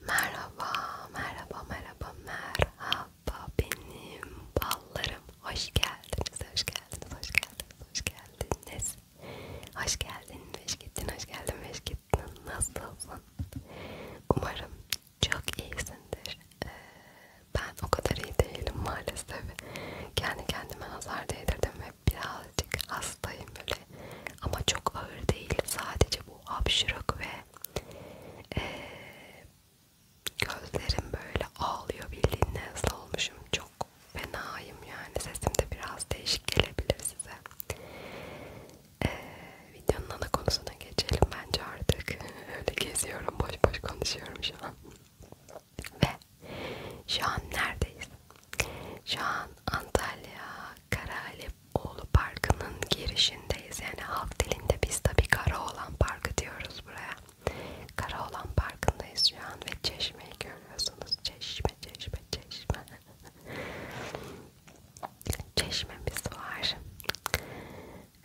Merhaba, merhaba, merhaba, merhaba benim ballarım. Hoş geldiniz, hoş geldiniz, hoş geldiniz, hoş geldiniz. Hoş geldin Meşkettin, hoş geldin Meşkettin. Nasılsın? Umarım çok iyisindir. Ee, ben o kadar iyi değilim maalesef. Kendi kendime nazar değdirdim ve birazcık hastayım böyle ama çok ağır değil sadece bu hapşırık ve e, gözlerim böyle ağlıyor bildiğin hasta olmuşum çok fenayım yani sesim de biraz değişik gelebilir size e, videonun ana konusuna geçelim bence artık öyle geziyorum boş boş konuşuyorum şu an ve şu an neredeyiz? Şu an Antalya Karahalioğlu Parkı'nın girişindeyiz. Yani halk dilinde biz tabi Karaoğlan Parkı diyoruz buraya. Karaoğlan Parkı'ndayız şu an ve çeşmeyi görüyorsunuz. Çeşme, çeşme, çeşme. Çeşmemiz var.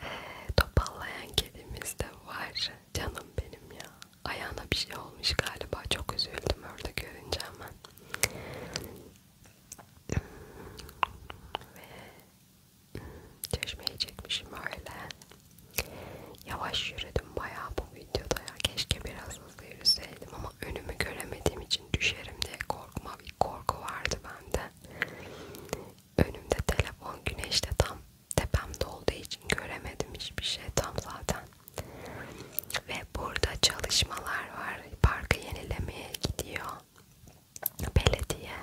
Ee, topallayan kedimiz de var. Canım benim ya. Ayağına bir şey olmuş galiba. Çok üzüldüm orada görünce ama. Ve çeşmeyi çekmişim öyle. Yavaş yürüdüm bayağı bu videoda ya. Keşke biraz hızlı yürüseydim ama önümü göremediğim için düşerim diye korkma bir korku vardı bende. Önümde telefon güneşte tam tepemde olduğu için göremedim hiçbir şey tam zaten. Ve burada çalışmalar var. Parkı yenilemeye gidiyor. Belediye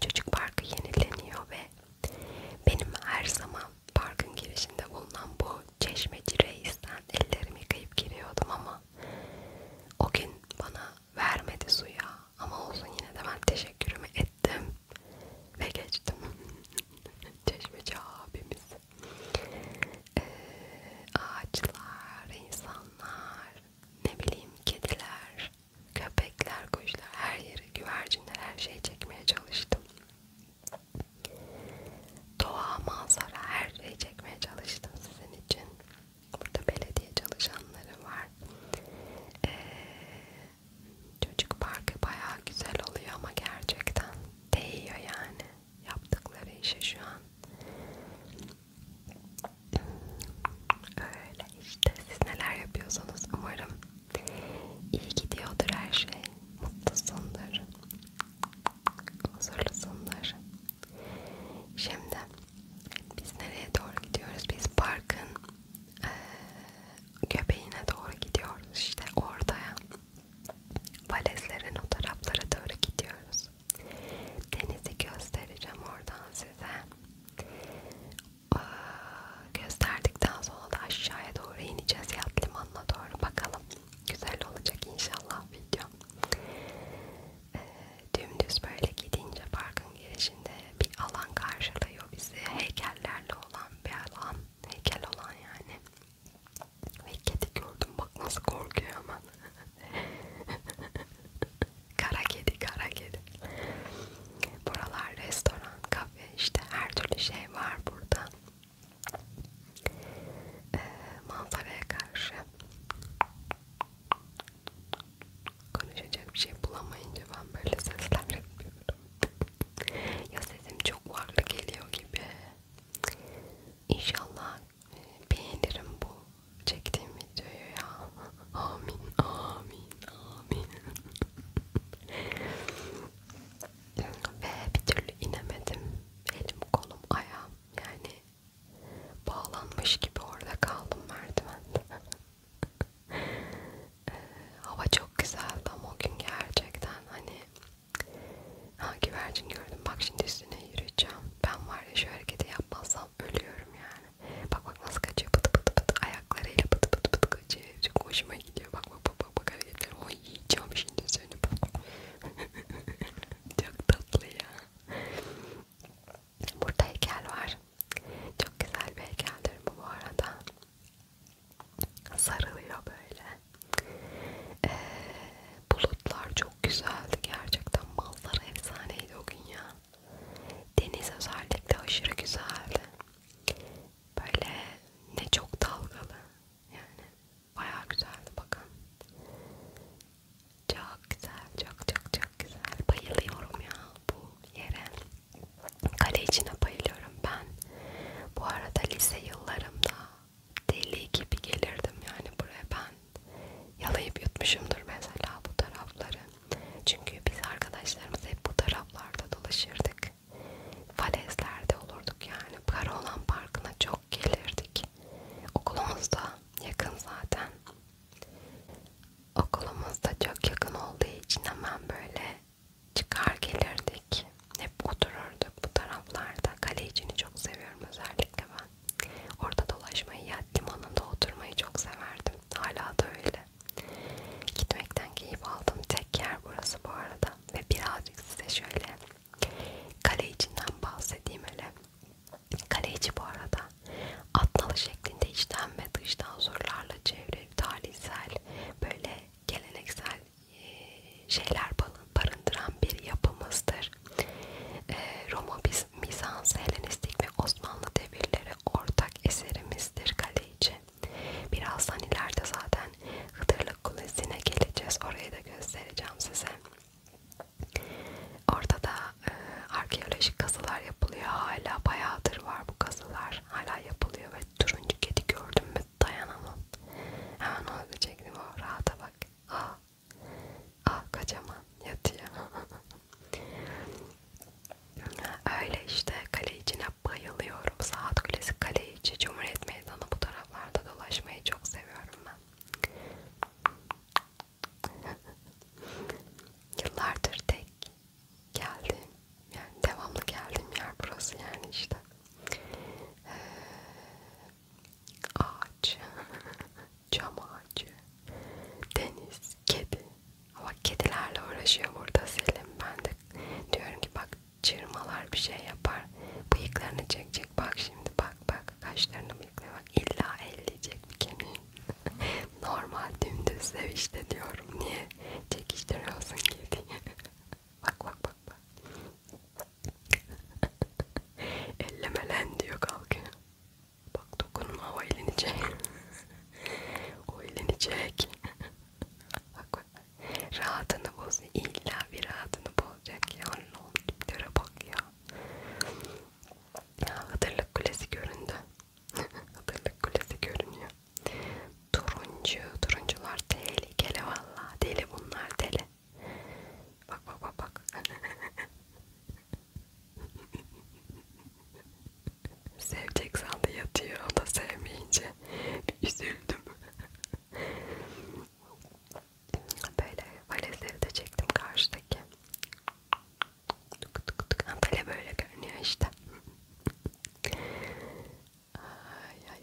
çocuk parkı yenileniyor ve benim her zaman parkın girişinde bulunan bu çeşmeci reisten ellerimi yıkayıp giriyordum ama o gün bana vermedi suya ama olsun yine de ben teşekkürümü ettim ve geçtim. Çeşmeci abimiz. Ee, ağaçlar, insan insanlar, ne bileyim kediler, köpekler, kuşlar, her yere güvercinler, her şeyi çekmeye çalıştım. Doğa, manzara, her şeyi çekmeye çalıştım sizin için. Burada belediye çalışanları var. Ee, çocuk parkı bayağı güzel oluyor ama gerçekten değiyor yani yaptıkları işe şu an. Öyle işte siz neler yapıyorsanız umarım iyi gidiyordur her şey. Mutlusundur. Huzurlusundur. Şimdi biz nereye doğru gidiyoruz? Biz parkın e, göbeğine doğru gidiyoruz. İşte ortaya. Valeslerin o taraflara doğru gidiyoruz. Denizi göstereceğim oradan size. Ee, gösterdikten sonra da aşağıya doğru ineceğiz yat limanına doğru bakalım. Güzel olacak inşallah video. Ee, dümdüz böyle gidince parkın girişinde bir alan karşılıyor bizi. Heykellerle olan bir alan. Heykel olan yani. Ve kedi gördüm bak nasıl korkuyor ama. kara kedi, kara kedi. Buralar restoran, kafe işte her türlü şey var burada. Ee, manzaraya karşı konuşacak bir şey bulamayınca ben böyle sesler yapıyorum. ya sesim çok varlı geliyor gibi. İnşallah beğenirim bu çektiğim videoyu ya. Amin, amin, amin. Ve bir türlü inemedim. Elim, kolum, ayağım yani bağlanmış gibi orada kaldım merdivende. Ee, e, hava çok güzeldi ama o gün gerçekten hani ha güvercin gördüm bak şimdi üstüne yürüyeceğim ben var ya şu hareketi yapmazsam ölüyorum yani. Bak bak nasıl kaçıyor pıtı pıtı pıtı ayaklarıyla pıtı pıtı pıtı kaçıyor. Çok hoşuma gidiyor. Bak bak bak bak bak hareketlerim. Oy yiyeceğim şimdi seni. Çok tatlı ya. Burada heykel var. Çok güzel bir heykeldir bu bu arada. Sarılıyor böyle. Ee, bulutlar çok güzeldi gerçekten mallar efsaneydi o gün ya deniz özellikle aşırı güzeldi böyle ne çok dalgalı yani baya güzeldi bakın çok güzel çok çok çok güzel bayılıyorum ya bu yere kale içine bayılıyorum ben bu arada lise yıllarımda deli gibi gelirdim yani buraya ben yalayıp yutmuşumdur mesela bu tarafları. Çünkü biz arkadaşlarımız hep bu taraflarda dolaşırdık. Falezlerde olurduk yani. Karolan Parkı'na çok gelirdik. Okulumuzda yakın zaten. Okulumuzda çok yakın olduğu için hemen böyle çıkar gelirdik. Hep otururduk bu taraflarda. Kale içini çok seviyorum özellikle ben. Orada dolaşmayı ya limanında oturmayı çok severdim. Hala da öyle. Gitmekten keyif aldım. Tek yer burası bu arada. Ve birazcık size şöyle kale içinden bahsedeyim hele. Kaleci bu arada atnalı şeklinde içten ve dıştan sorularla çevrili tarihsel böyle geleneksel şeyler barındıran bir yapımızdır eser. E, ee, Roma Bizans, Helenistik ve Osmanlı devirleri ortak eserimizdir Kaleiçi. Birazdan ileride zaten Hıdırlık Kulesi'ne geleceğiz. Orayı da göstereceğim size. Orada da e, arkeolojik kazılar yapılıyor. Hala bayağıdır var bu kazılar. Hala yapılıyor ve turuncu kedi gördüm mü dayanamam. Hemen onu çektim o rahata bak. Aa, ah, Ah kocaman yatıyor. Öyle işte kale içine bayılıyorum. Saat Kulesi kale içi Cumhuriyet Meydanı bu taraflarda dolaşmayı çok seviyorum ben. Yıllardır tek geldim. Yani devamlı geldiğim yer burası yani işte. Ee, ağaç. cam ağacı, deniz, kedi. Ama kedilerle uğraşıyor burada Selim. Ben de diyorum ki bak çırmalar bir şey yapar. Bıyıklarını çekecek. Bak şimdi bak bak. Kaşlarını bıyıkla bak. İlla elleyecek bir kemiği. Normal dümdüz sev işte diyorum. Niye çekiştiriyorsun kediyi? bak bak bak bak. Ellemelen diyor kalkıyor. Bak dokunma o eğlenecek. o eğlenecek. bak, rahatını boz. İlla bir rahatını bozacak ya. Ne oldu? bak ya. ya. Hatırlık kulesi göründü. Hatırlık kulesi görünüyor. Turuncu. Turuncular tehlikeli valla. Deli bunlar deli. Bak bak bak bak. Sevecek sandı yatıyor. O da sevmeyince bir üzüldüm. böyle valezleri de çektim karşıdaki. Tık tık tık. Böyle böyle görünüyor işte. Ay ay.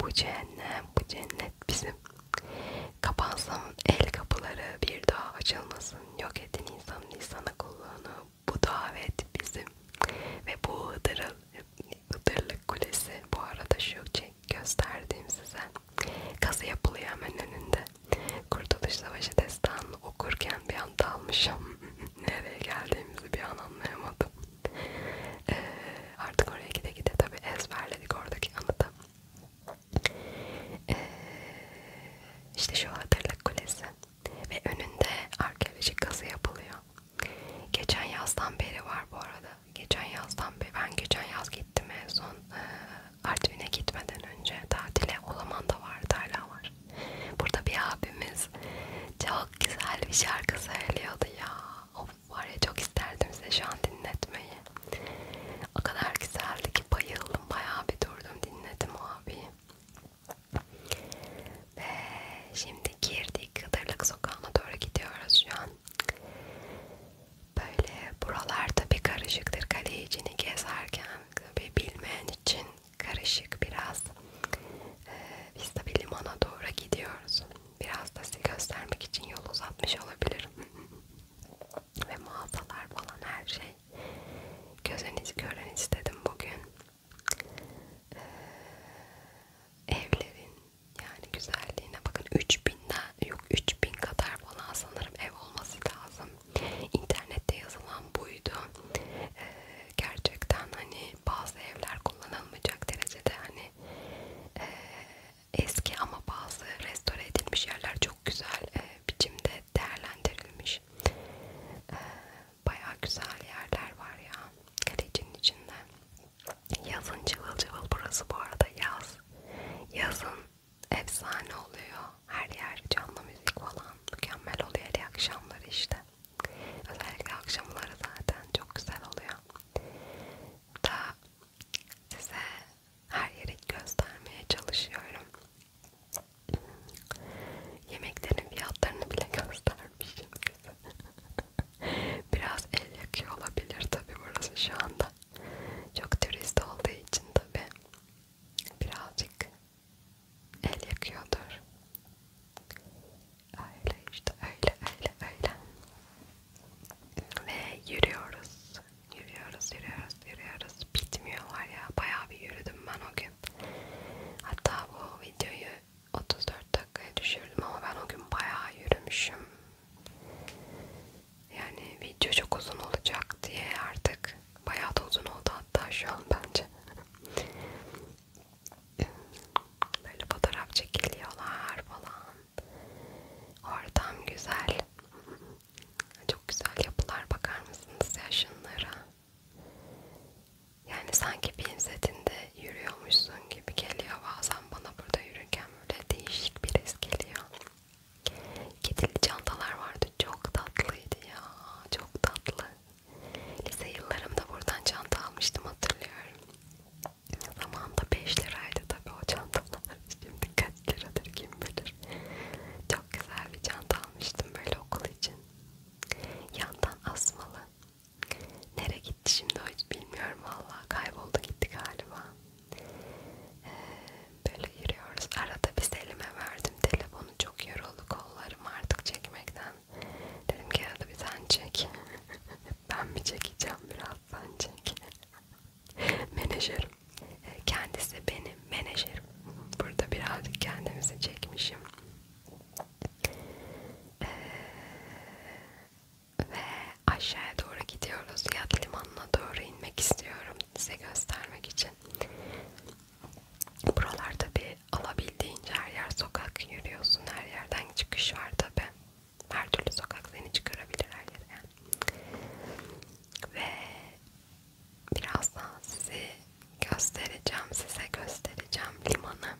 Bu cehennem, bu cennet bizim. Kapansın el kapıları bir daha açılmasın. Yok edin insanın insana kulluğunu. Bu davet bizim. Ve bu Hıdırıl, Hıdırlık Kulesi bu arada şu gösterdiğim size. Kazı yapılıyor hemen önünde. Kurtuluş Savaşı destanını okurken bir an dalmışım. Nereye geldiğimizi bir an anlayamadım. Ee, artık oraya gide gide tabi ezberledik oradaki anıtı. Ee, işte şu Hatırlık Kulesi ve önünde arkeolojik kazı yapılıyor. Geçen yazdan beri var bu arada. Geçen yazdan beri ben geçen yaz gittim en son e, Artvin'e gitmeden önce tatile o zaman da vardı hala var. Burada bir abimiz çok güzel bir şarkı söylüyordu ya. Of var ya çok isterdim size şu an dinletmeyi. O kadar güzeldi ki bayıldım bayağı bir durdum dinledim abi. Ve şimdi girdik Kıdırlık Sokağı'na doğru gidiyoruz şu an. Böyle buralar tabi karışıktır kale içini gezerken tabi bilmeyen için karışık biraz. Ee, biz tabi limana doğru gidiyoruz. Biraz da size göstermek için yol uzatmış olabilirim. Ve mağazalar falan her şey. Gözünüz görün istedim bugün. Ee, evlerin yani güzelliğine bakın 3000'den yok 3000 kadar falan sanırım ev olması lazım. İnternette yazılan buydu. Ee, gerçekten hani bazı evler kullanılmayacak derecede hani e, eski ama bazı restore edilmiş yerler çok güzel e, biçimde değerlendirilmiş. E, Baya güzel yerler var ya kalecinin içinde. Yazın cıvıl cıvıl burası bu arada yaz. Yazın efsane oluyor. Her yer canlı müzik falan mükemmel oluyor hele akşamları işte. Özellikle akşamları zaten çok güzel oluyor. Daha size her yeri göstermeye çalışıyorum. Yemeklerin fiyatlarını bile göstermişim size. Biraz el yakıyor olabilir tabi burası şu anda. Çok turist olduğu için tabi birazcık el yakıyordur. Öyle işte öyle öyle öyle. Ve yürüyoruz. Yürüyoruz yürüyoruz yürüyoruz. Bitmiyor var ya. Bayağı bir yürüdüm ben o gün. Hatta bu videoyu 34 dakikaya düşürdüm ama ben o gün bayağı yürümüşüm. Yani video çok uzun olacak diye artık bayağı da uzun oldu hatta şu an bence böyle fotoğraf çekiliyorlar falan. Ortam güzel. Çok güzel yapılar bakar mısınız ya şunlara? Yani sanki pinzetinde yürüyormuşsun gibi geliyor bazen bana burada yürürken böyle değişik bir his geliyor. Kedili çantalar vardı çok tatlıydı ya çok tatlı. Lise yıllarımda buradan çanta almıştım hatırlıyorum. Zamanında 5 liraydı tabi o çantalar. Şimdi kaç liradır kim bilir. Çok güzel bir çanta almıştım böyle okul için. Yandan asmalı. Nereye gitti şimdi o hiç bilmiyorum valla. Kayboldu gitti galiba. Ee, böyle yürüyoruz. Arada bir Selim'e verdim telefonu. Çok yoruldu kollarım artık çekmekten. Dedim ki arada bir sen çek. ben mi çekeceğim biraz sen çek. menajerim. E, kendisi benim menajerim. Burada birazcık kendimizi çekmişim. Ee, ve aşağıya doğru gidiyoruz. Yat limanına doğru inmek istiyorum size göstermek için. Buralar tabi yani alabildiğince her yer sokak yürüyorsun. Her yerden çıkış var tabi. Her türlü sokak seni çıkarabilir her yere. Ve birazdan sizi göstereceğim. Size göstereceğim limanı.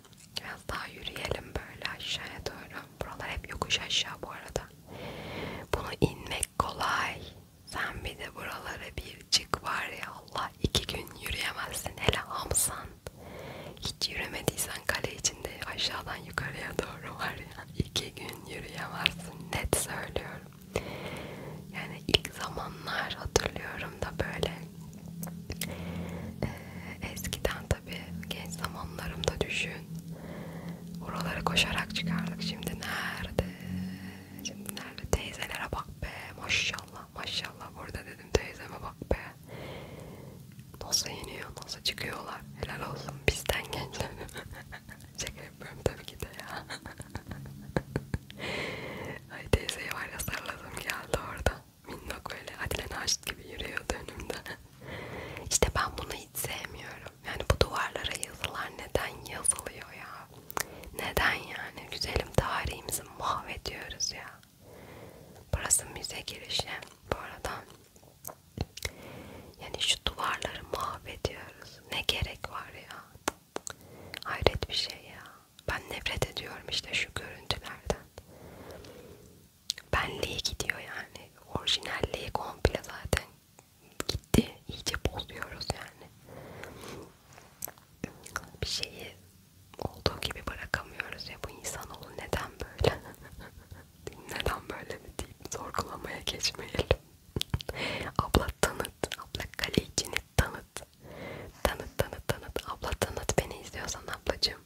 Biraz daha yürüyelim böyle aşağıya doğru. Buralar hep yokuş aşağı bu arada. Bunu inmek kolay. Sen bir de buralara bir çık var ya Allah iki gün yürüyemezsin. Hele Hamza falan. Hiç yürümediysen kale içinde aşağıdan yukarıya doğru var ya iki gün yürüyemezsin net söylüyorum. Yani ilk zamanlar hatırlıyorum da böyle ee, eskiden tabi genç zamanlarımda düşün oralara koşarak çıkardık şimdi nerede şimdi nerede teyzelere bak be maşallah maşallah burada dedim teyzeme bak be Nasıl yeniyor, nasıl çıkıyorlar? Helal olsun bizden gençler. Şaka yapıyorum tabii ki de ya. Ay teyzeyi var ya sarladım geldi orada. Minnok öyle Adile Naşit gibi yürüyordu önümde. işte ben bunu hiç sevmiyorum. Yani bu duvarlara yazılar neden yazılıyor ya? Neden yani? Güzelim tarihimizi mahvediyoruz ya. Burası müze girişi bu arada. Yani şu duvarları mahvediyoruz. Ne gerek var ya? Hayret bir şey ya. Ben nefret ediyorum işte şu görüntülerden. Benliği gidiyor yani. Orijinalliği komple zaten gitti. İyice bozuyoruz yani. Bir şeyi olduğu gibi bırakamıyoruz ya bu insanoğlu neden böyle? neden böyle mi deyip sorgulamaya geçmeyelim. abla tanıt, abla kale içini tanıt. Tanıt tanıt tanıt, abla tanıt beni izliyorsan ablacığım.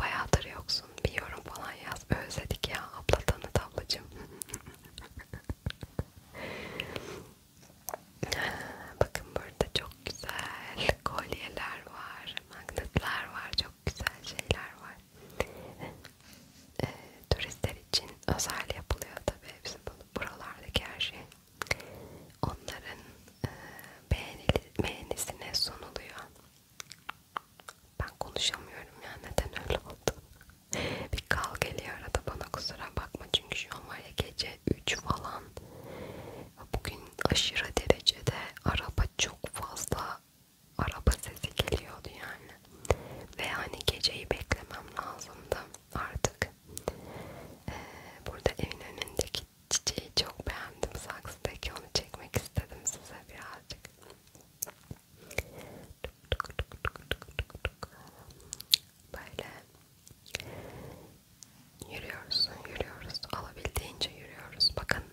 Bayağıdır yoksun, bir yorum falan yaz. Özledik ya, abla tanıt ablacığım. Bakın burada çok güzel kolyeler var magnetler var, çok güzel şeyler var. e, turistler için özel yapılıyor tabii hepsi buralardaki her şey. Onların e, beğenili, beğenisine sunuluyor. Ben konuşamıyorum ya neden öyle oldu? Bir kal geliyor arada bana kusura bakma çünkü şu an var ya gece 3 falan Bugün aşırı derecede araba çok fazla araba sesi geliyordu yani. Ve hani geceyi beklemem lazımdı artık. Ee, burada evin önündeki çiçeği çok beğendim. Saksıdaki onu çekmek istedim size birazcık. Böyle Yürüyoruz, yürüyoruz. Alabildiğince yürüyoruz. Bakın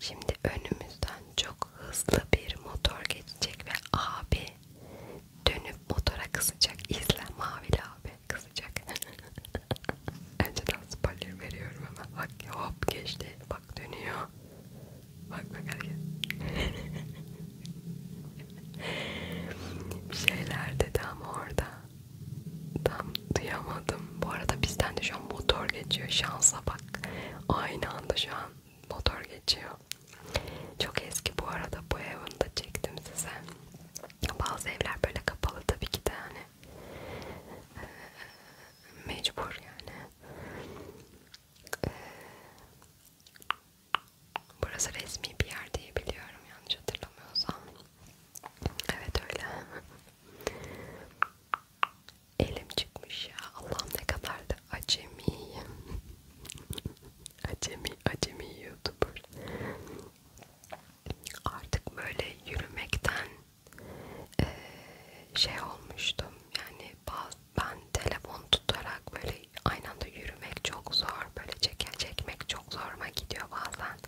şimdi önümüzden çok hızlı bir motor geçecek ve abi dönüp motora kısacak. İzle mavili abi kısacak. Önceden spoiler veriyorum ama bak hop geçti. Bak dönüyor. Bak bak hareket. Bir şeyler dedi ama orada tam duyamadım. Bu arada bizden de şu an motor geçiyor. Şansa bak. Aynı anda şu an motor geçiyor. Çok eski bu arada bu evini de çektim size. Bazı evler böyle kapalı tabii ki de hani e, mecbur yani. E, burası resmi bir yer diye biliyorum yanlış hatırlamıyorsam. Evet öyle. Elim çıkmış ya. Allah'ım ne kadar da acemiyim. acemi, acemi YouTuber. Artık böyle yürümekten e, şey olmuştum. Yani ben telefon tutarak böyle aynı anda yürümek çok zor. Böyle çeke çekmek çok zoruma gidiyor bazen.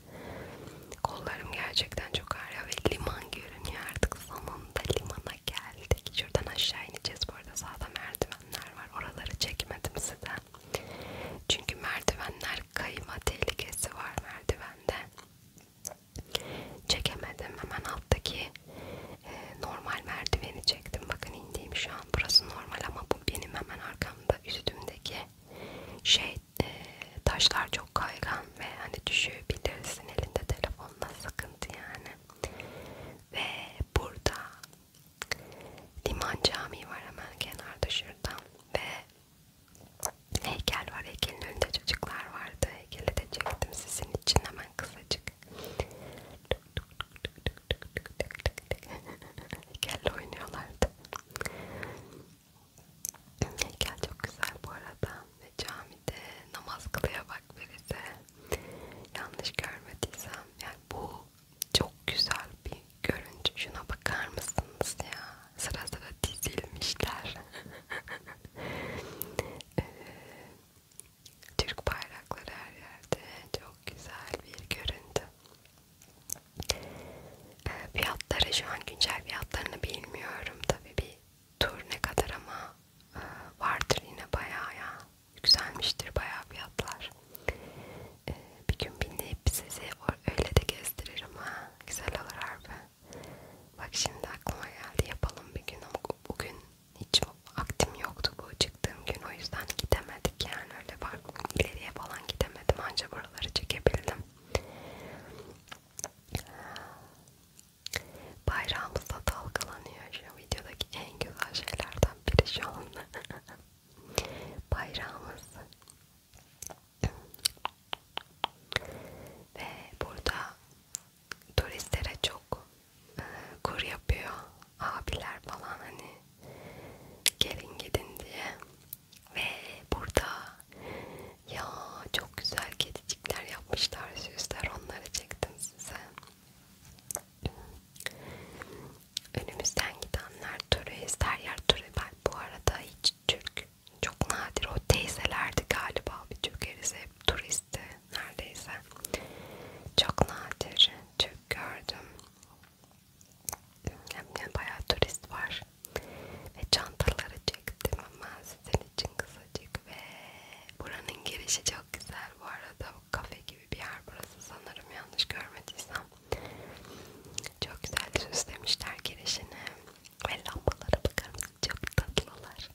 Kollarım gerçekten çok ağrıyor ve liman görünüyor artık sonunda limana geldik. Şuradan aşağı ineceğiz bu arada sağda merdivenler var. Oraları çekmedim size. Çünkü merdivenler kayma tehlikesi var merdivende. Çekemedim. Hemen alttaki e, normal merdiveni çektim. Bakın indiğim şu an. Burası normal ama bu benim hemen arkamda üstümdeki şey e, taşlar çok kaygan ve hani düşebilirsin elinde telefonla sıkıntı yani. Ve burada Liman Camii var hemen kenarda şurada ve heykel var. Heykelin önünde çocuklar vardı. Heykeli de çektim sizin için hemen kısacık. Heykelle oynuyorlardı. Heykel çok güzel bu arada ve camide namaz kılıyor bak birisi. Yanlış görmediysem yani bu çok güzel bir görüntü. Şuna bakar mısınız ya? Sıra sıra dizilmişler. ee, Türk bayrakları her yerde. Çok güzel bir görüntü. E, fiyatları şu an güncel fiyatlarını bilmiyorum tabi bir tur ne kadar ama e, vardır yine bayağı ya yükselmiştir bayağı fiyatlar. E, bir gün binip sizi öyle de gezdiririm ha güzel olur harbi. Bak şimdi aklıma geldi yapalım bir gün ama bugün hiç aktim yoktu bu çıktığım gün o yüzden gidemedik yani öyle bak ileriye falan gidemedim anca buraları çekebildim Bayrağımız da dalgalanıyor. Şu videodaki en güzel şeylerden biri şu an. Bayrağımız. Ve burada turistlere çok e, kur yapıyor abiler falan hani gelin gidin diye ve burada ya çok güzel kedicikler yapmışlar süsler onları çektim size. Önümüzden gidenler türü ister yer türü ben bu arada hiç Türk çok nadir o teyzelerdi galiba bir Türk erisi hep turisti neredeyse çok nadir Türk gördüm. Yani bayağı turist var. Ve çantaları çektim ama sizin için kısacık ve buranın girişi çok güzel bu arada. Kafe gibi bir yer burası sanırım yanlış görmediysem. Çok güzel süslemişler girişini ve lambalara bakar mısın? Çok tatlılar.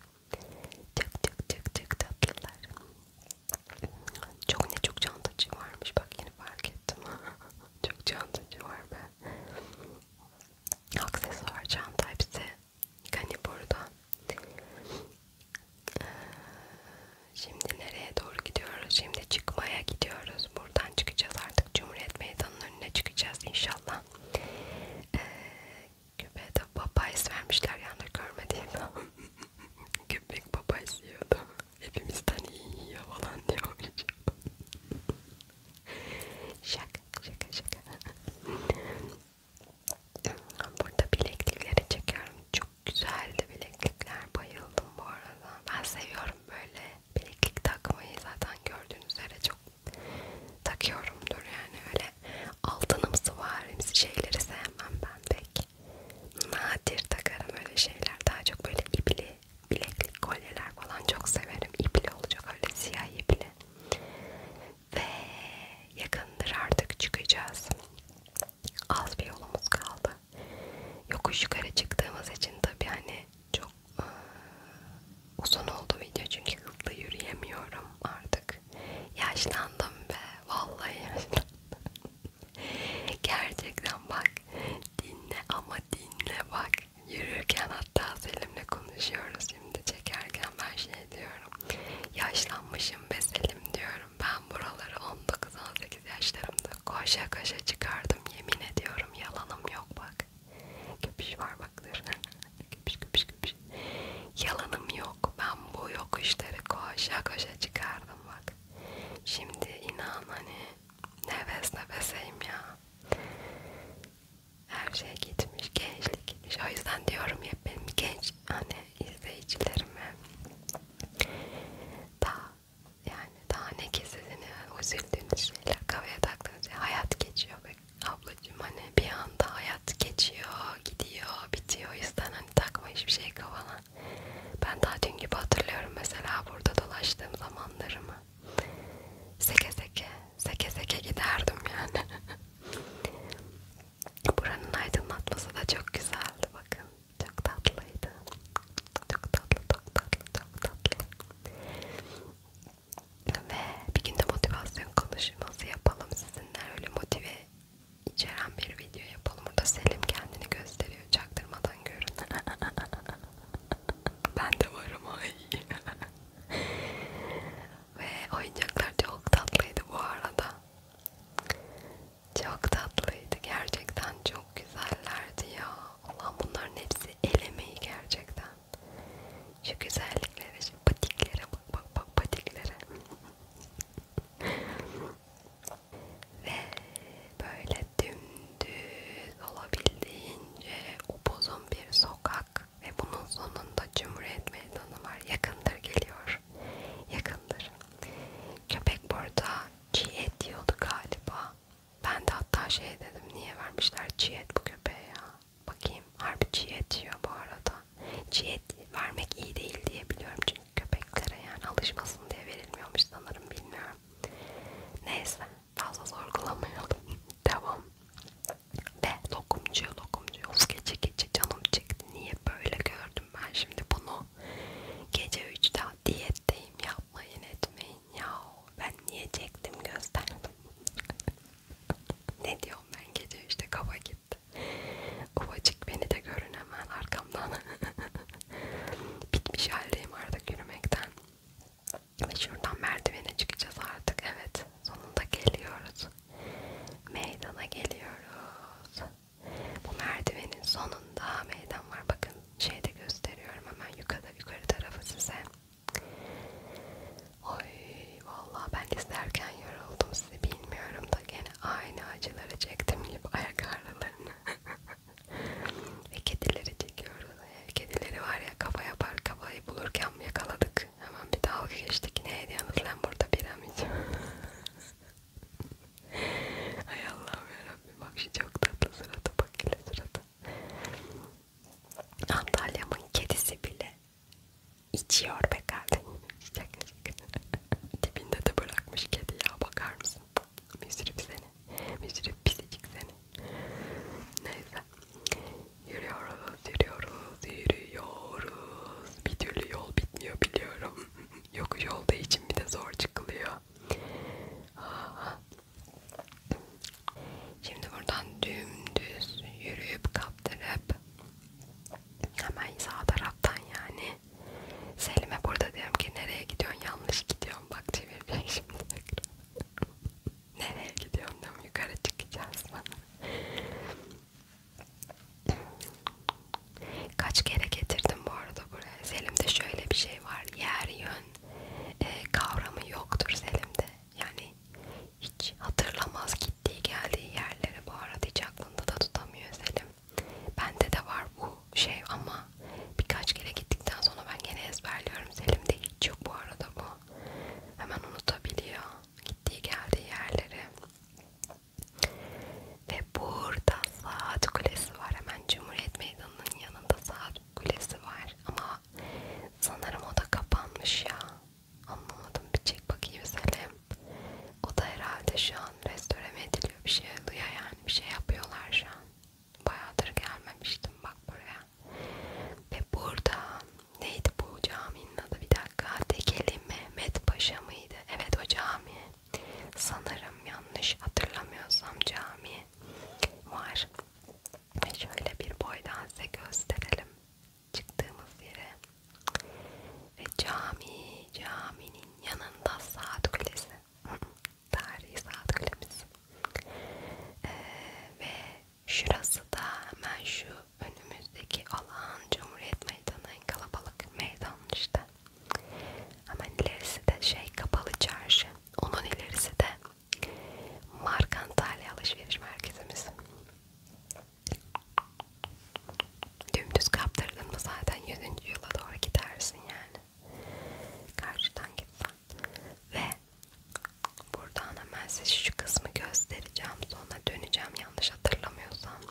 Çok çok çok çok tatlılar. Çok ne çok çantacı varmış bak yeni fark ettim. çok çantacı var be aksesuar, çanta hepsi Gani burada. Ee, şimdi nereye doğru gidiyoruz? Şimdi çıkmaya gidiyoruz. Buradan çıkacağız artık. Cumhuriyet Meydanı'nın önüne çıkacağız inşallah. Ee, Küpe'de papayz vermişler yanında görmediğim. Köpek papayz yiyordu. Hepimizden iyi yiyor falan diyor. şaka şaka şaka. Burada bileklikleri çekiyorum. Çok güzeldi bileklikler. Bayıldım bu arada. Ben seviyorum böyle bileklik takmayı. Zaten gördüğünüz üzere çok takıyorumdur yani öyle altınımsı varimsi şeyleri sevmem ben pek. Nadir takarım öyle şeyler. Daha çok böyle ipli bileklik kolyeler falan çok severim. İpli olacak öyle siyah ipli. Ve yakındır artık çıkacağız. Az bir yolumuz kaldı. Yokuş yukarı çıktığımız için tabii hani çok ıı, uzun oldu video çünkü hızlı yürüyemiyorum artık. Yaşlandım be. Vallahi yaşlandım. Gerçekten bak dinle ama dinle bak Yürürken hatta Selim'le konuşuyoruz şimdi çekerken ben şey diyorum. Yaşlanmışım be Selim diyorum. Ben buraları 19-18 yaşlarımda koşa koşa çıkardım. Yemin ediyorum yalanım yok bak. Köpüş var bak dur. köpüş köpüş köpüş. Yalanım yok. Ben bu yokuşları koşa koşa çıkardım bak. Şimdi inan hani nefes nefeseyim ya her şey gitmiş gençlik gitmiş o yüzden diyorum ya benim genç hani izleyicilerime daha yani daha ne ki sizin e, üzüldüğünüz şeyler kafaya taktığınız şey hayat geçiyor be ablacığım hani bir anda hayat geçiyor gidiyor bitiyor o yüzden hani takma hiçbir şey kafana ben daha dün gibi hatırlıyorum mesela burada dolaştığım zamanlarımı Seke seke, seke seke giderdim yani. Buranın aydınlatması da çok güzeldi bakın. Çok tatlıydı. Çok tatlı, çok tatlı, çok tatlı. Ve bir günde motivasyon konuşması yapalım sizinle. Öyle motive içeren bir video yapalım. Burada Selim kendini gösteriyor çaktırmadan görün. ben de varım ay. Ve oyuncaklar çok tatlıydı bu arada. Çok tatlıydı. Gerçekten çok güzellerdi ya. Allah bunların hepsi el emeği gerçekten. Şu güzelliklere, şu patiklere bak bak bak patiklere. Ve böyle dümdüz dümdüz olabildiğince upuzun bir sokak ve bunun sonunda Cumhuriyet Meydanı var. Yakındır geliyor. Yakındır. Köpek burada çiğ et yiyordu galiba. Ben de hatta şey dedim niye vermişler çiğ et bu köpeğe ya. Bakayım harbi çiğ et yiyor bu arada. Çiğ et vermek iyi değil diye biliyorum çünkü köpeklere yani alışmasın diye verilmiyormuş sanırım bilmiyorum. Neyse fazla sorgulamayalım. Devam. Ve lokumcu lokumcu of gece gece canım çekti. Niye böyle gördüm ben şimdi bunu? Gece 3'te diyetteyim yapmayın etmeyin ya. Ben niye çektim gösterdim. ne diyorum ben gece 3'te kafa gitti. Ufacık beni de görün hemen arkamdan. Bitmiş haldeyim artık yürümekten. Ve şuradan merdivene çıkacağız artık. Evet. Sonunda geliyoruz. Meydana geliyoruz. Bu merdivenin sonunda meydan var. Bakın şeyde gösteriyorum hemen yukarıda yukarı tarafı size. Oy vallahi ben izlerken yoruldum sizi bilmiyorum da gene aynı acıları çektim gibi ayak ağrılarını. Ve kedileri çekiyoruz kedileri var ya kafa yapar kafayı bulurken yakaladık. Hemen bir dalga geçtik. Ne ediyorsunuz lan burada piramit? Ay Allah'ım yarabbim bak şu çok tatlı sırada bak hele sırada. Antalya'mın kedisi bile içiyor be kardeşim. Dibinde de bırakmış kedi ya bakar mısın? Müzirip seni. Müzirip pisicik seni. Neyse. Yürüyoruz, yürüyoruz, yürüyoruz. Bir türlü yol bitmiyor biliyorum. Yokuş olduğu için bir de zor çıkılıyor. Aha. Şimdi buradan dümdüz yürüyüp kaptırıp hemen sağ taraftan yani Selim'e burada diyorum ki nereye gidiyorsun yanlış gidiyorsun bak çevirecek şimdi Nereye gidiyorum da yukarı çıkacağız bana. Kaç kere getirdim bu arada buraya. Selim'de şöyle bir şey var. Yer yön e, kavramı yoktur Selim'de. Yani hiç hatırlamaz gittiği geldiği yerleri bu arada hiç aklında da tutamıyor Selim. Bende de var bu şey ama birkaç kere gittikten sonra ben gene ezberliyorum. Selim'de hiç yok bu arada bu. Hemen unutabiliyor gittiği geldiği yerleri. Ve burada saat kulesi var. Hemen Cumhuriyet Meydanı'nın yanında saat kulesi var. Ama sanırım o da kapanmış ya. Anlamadım. Bir çek bakayım Selim. O da herhalde şu an restore ediliyor. Bir şey oluyor yani. Bir şey yapıyorlar şu an. Bayağıdır gelmemiştim bak buraya. Ve burada neydi bu caminin adı bir dakika Tekeli Mehmet Paşa mıydı? Evet o cami. Sanırım yanlış hatırlamıyorsam cami var. Ve şöyle bir boydan size gösterelim çıktığımız yere. Ve cami, caminin yanında saat kulesi. Tarihi saat kulemiz. Ee, ve Şurası da hemen şu önümüzdeki alan Cumhuriyet Meydanı en kalabalık meydan işte. Hemen ilerisi de şey kapalı çarşı. Onun ilerisi de Markantalya alışveriş merkezimiz. Dümdüz kaptırdın mı zaten 100. yıla doğru gidersin yani. Karşıdan gitsen ve buradan hemen size şu kısmı göstereceğim sonra döneceğim yanlış hatırlamıyorsam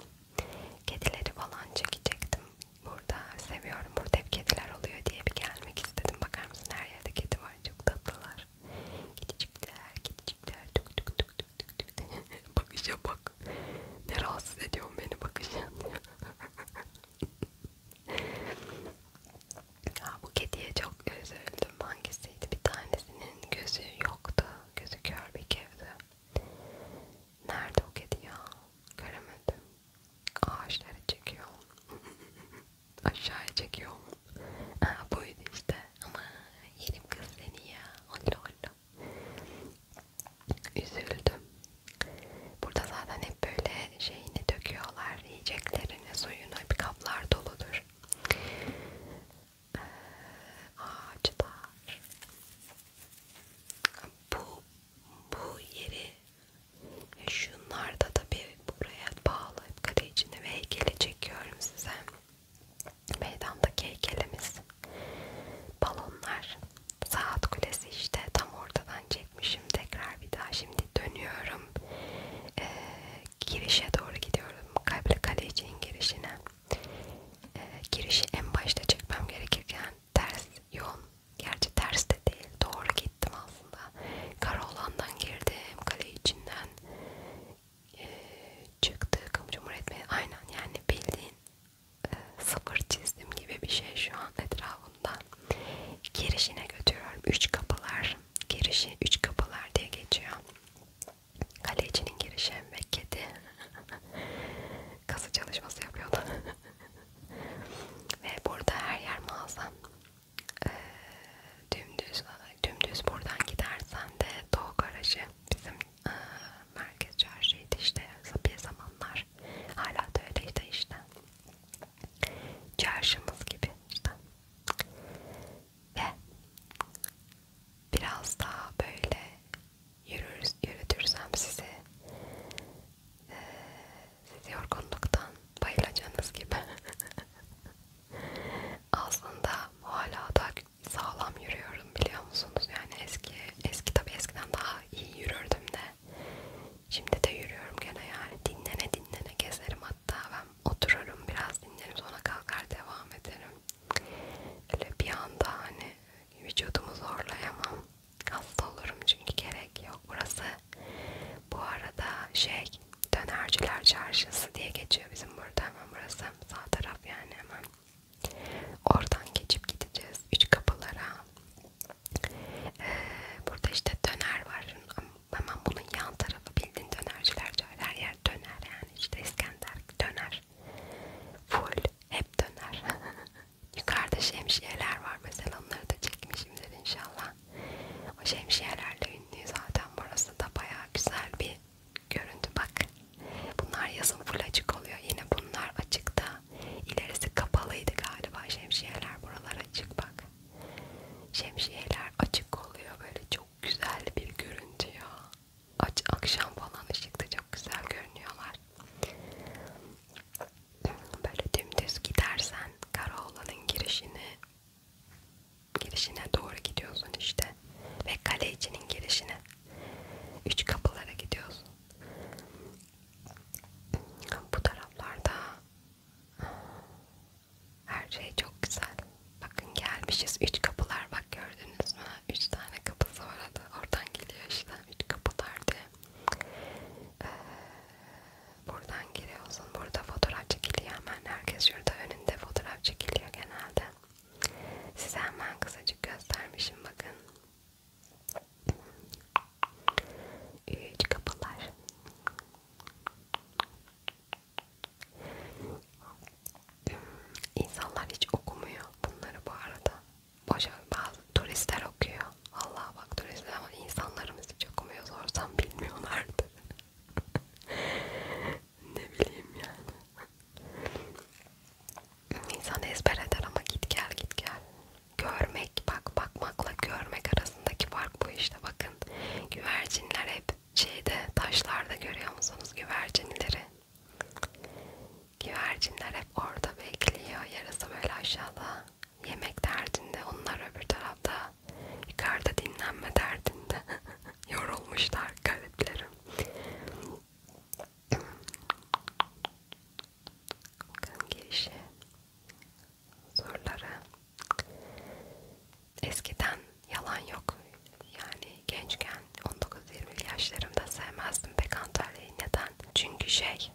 kedileri falan çekecektim burada seviyorum burada hep kediler oluyor diye bir gelmek istedim bakar mısın her yerde kedi var çok tatlılar kedicikler kedicikler tuk tuk tuk tuk tuk tuk bakışa bak ne rahatsız ediyorsun beni bakışa Ha, bu kediye çok üzüldüm. Hangisiydi? Bir tanesinin gözü yoktu. Gözü kör bir kedi. Nerede o kedi ya? Göremedim. Ağaçları çekiyor. Aşağıya çekiyor. Ha, buydu işte. Ama yerim kız seni ya. Allah Allah. Üzüldüm. Burada zaten hep böyle şeyini döküyorlar. Yiyeceklerini, suyunu. Hep kaplar doludur e, ağaçlar. Bu bu yeri şunlar da tabii buraya bağlı kale içinde ve heykeli çekiyorum size. Meydandaki heykelimiz. Balonlar. Saat kulesi işte tam ortadan çekmişim tekrar bir daha şimdi dönüyorum e, girişe doğru gidiyorum. Kalple Kaleci'nin girişine. E, girişi en başta çekmem gerekirken ters yol. Gerçi ters de değil. Doğru gittim aslında. Karaoğlan'dan girdim. Kale içinden e, ee, çıktık. Cumhuriyet Meydanı. Aynen yani bildiğin e, sıfır çizdim gibi bir şey şu an etrafında. Girişine götürüyorum. Üç kapılar girişi üç kapılar diye geçiyor. Kalecinin girişi ve kedi kazı çalışması yapıyordu. ve burada her yer mağazan. Ee, dümdüz, dümdüz buradan gidersen de Doğu Garajı bizim e, merkez çarşıydı işte bir zamanlar. Hala da öyleydi işte. Çarşımız gibi işte ve biraz daha böyle yürür, yürütürsem sizi e, sizi yorgunluktan bayılacağınız gibi aslında hala da sağlam yürüyorum biliyor musunuz yani eski eski tabi eskiden daha iyi yürürdüm de şimdi de yürüyorum gene yani dinlene dinlene gezerim hatta ben otururum biraz dinlerim sonra kalkar devam ederim. Öyle bir anda hani vücudumu zorlayamam. Hasta olurum çünkü gerek yok. Burası bu arada şey dönerciler çarşısı diye geçiyor bizim burada hemen burası sağ taraf yani hemen. Oradan geçip gideceğiz üç kapılara. Ee, burada işte döner var Hemen bunun yan tarafı bildiğin dönerciler her yer döner yani işte İskender döner. Full hep döner. Yukarıda şemsiyeler var mesela onları da çekmişimdir inşallah. O şemsiyelerle ünlü zaten burası da baya güzel bir görüntü bak. Bunlar yazın full açık oluyor. Yine bunlar açıkta. İlerisi kapalıydı galiba şemsiyeler buralar açık bak. Şemsiyeler açık oluyor böyle çok güzel bir görüntü ya. Aç akşam falan ışıkta çok güzel görünüyorlar. Böyle dümdüz gidersen Karaoğlan'ın girişini girişine doğru gidiyorsun işte ve kale içinin girişine üç kapılara gidiyorsun. Bu taraflarda her şey çok güzel. Bakın gelmişiz. Üç kapılar bak gördünüz mü? Üç tane kapısı var. Oradan geliyor işte. Üç kapılar diye. Ee, buradan giriyorsun. Burada fotoğraf çekiliyor hemen. Herkes şurada önünde fotoğraf çekiliyor genelde. Size hemen kısacık göstermişim bakın. Üç kapılar. İnsanlar hiç okumuyor bunları bu arada. Boşa bazı turistler okuyor. Allah bak turistler ama insanlarımız hiç okumuyor. Sorsam bilmiyorlardı. ne bileyim yani. İnsan ezber eder ama git gel git gel. Görmek bak bakmakla görmek arasındaki fark bu işte bakın. Güvercinler hep şeyde taşlarda görüyor musunuz güvercinleri? Güvercinler hep orada bekliyor. Yarısı böyle aşağıda yemek derdinde. Onlar öbür tarafta yukarıda dinlenme derdinde. Yorulmuşlar gariplerim. Kan girişi. Zorları eskiden yalan yok. Yani gençken 19-20 yaşlarımda sevmezdim pek Antalya'yı. Neden? Çünkü şey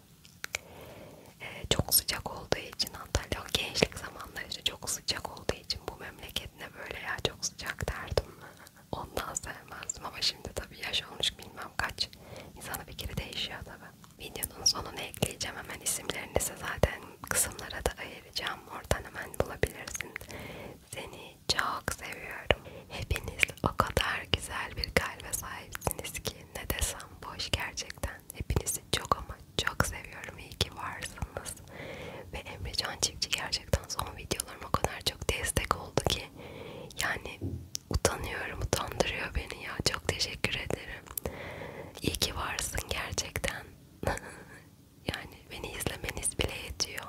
e, çok sıcak olduğu için Antalya gençlik zamanları işte çok sıcak olduğu için bu memleket ne böyle ya çok sıcak derdim. Ondan sevmezdim ama şimdi tabii yaş olmuş bilmem kaç. İnsanın fikri değişiyor tabii. Videonun sonunu ekleyeceğim hemen isimlerini size zaten kısımlara da ayıracağım vereceğim. Oradan hemen bulabilirsin. Seni çok seviyorum. Hepiniz o kadar güzel bir kalbe sahipsiniz ki ne desem boş gerçekten. Hepinizi çok ama çok seviyorum. İyi ki varsınız. Ve Emrecan Çiftçi gerçekten son videolarım o kadar çok destek oldu ki yani utanıyorum, utandırıyor beni ya. Çok teşekkür ederim. İyi ki varsın gerçekten. Yani beni izlemeniz bile yetiyor.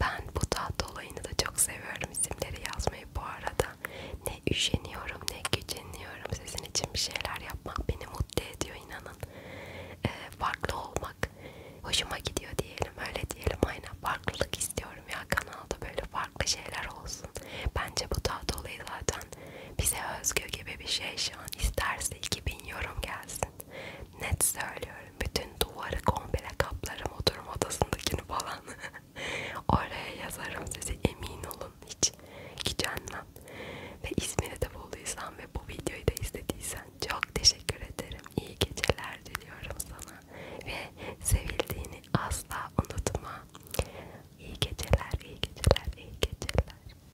Ben bu tahta olayını da çok seviyorum. İsimleri yazmayı bu arada. Ne üşeniyorum ne güceniyorum. Sizin için bir şeyler yapmak beni mutlu ediyor inanın. Ee, farklı olmak hoşuma gidiyor diyelim. Öyle diyelim aynen. Farklılık istiyorum ya kanalda böyle farklı şeyler olsun. Bence bu tahta olayı zaten bize özgü gibi bir şey şu an. İsterse iki bin yorum gelsin. Net söylüyorum. Bütün duvarı komple kaplarım oturma odasındakini falan. Oraya yazarım sizi emin olun. Hiç gücenmem. Ve ismini de bulduysan ve bu videoyu da izlediysen çok teşekkür ederim. İyi geceler diliyorum sana. Ve sevildiğini asla unutma. İyi geceler, iyi geceler, iyi geceler.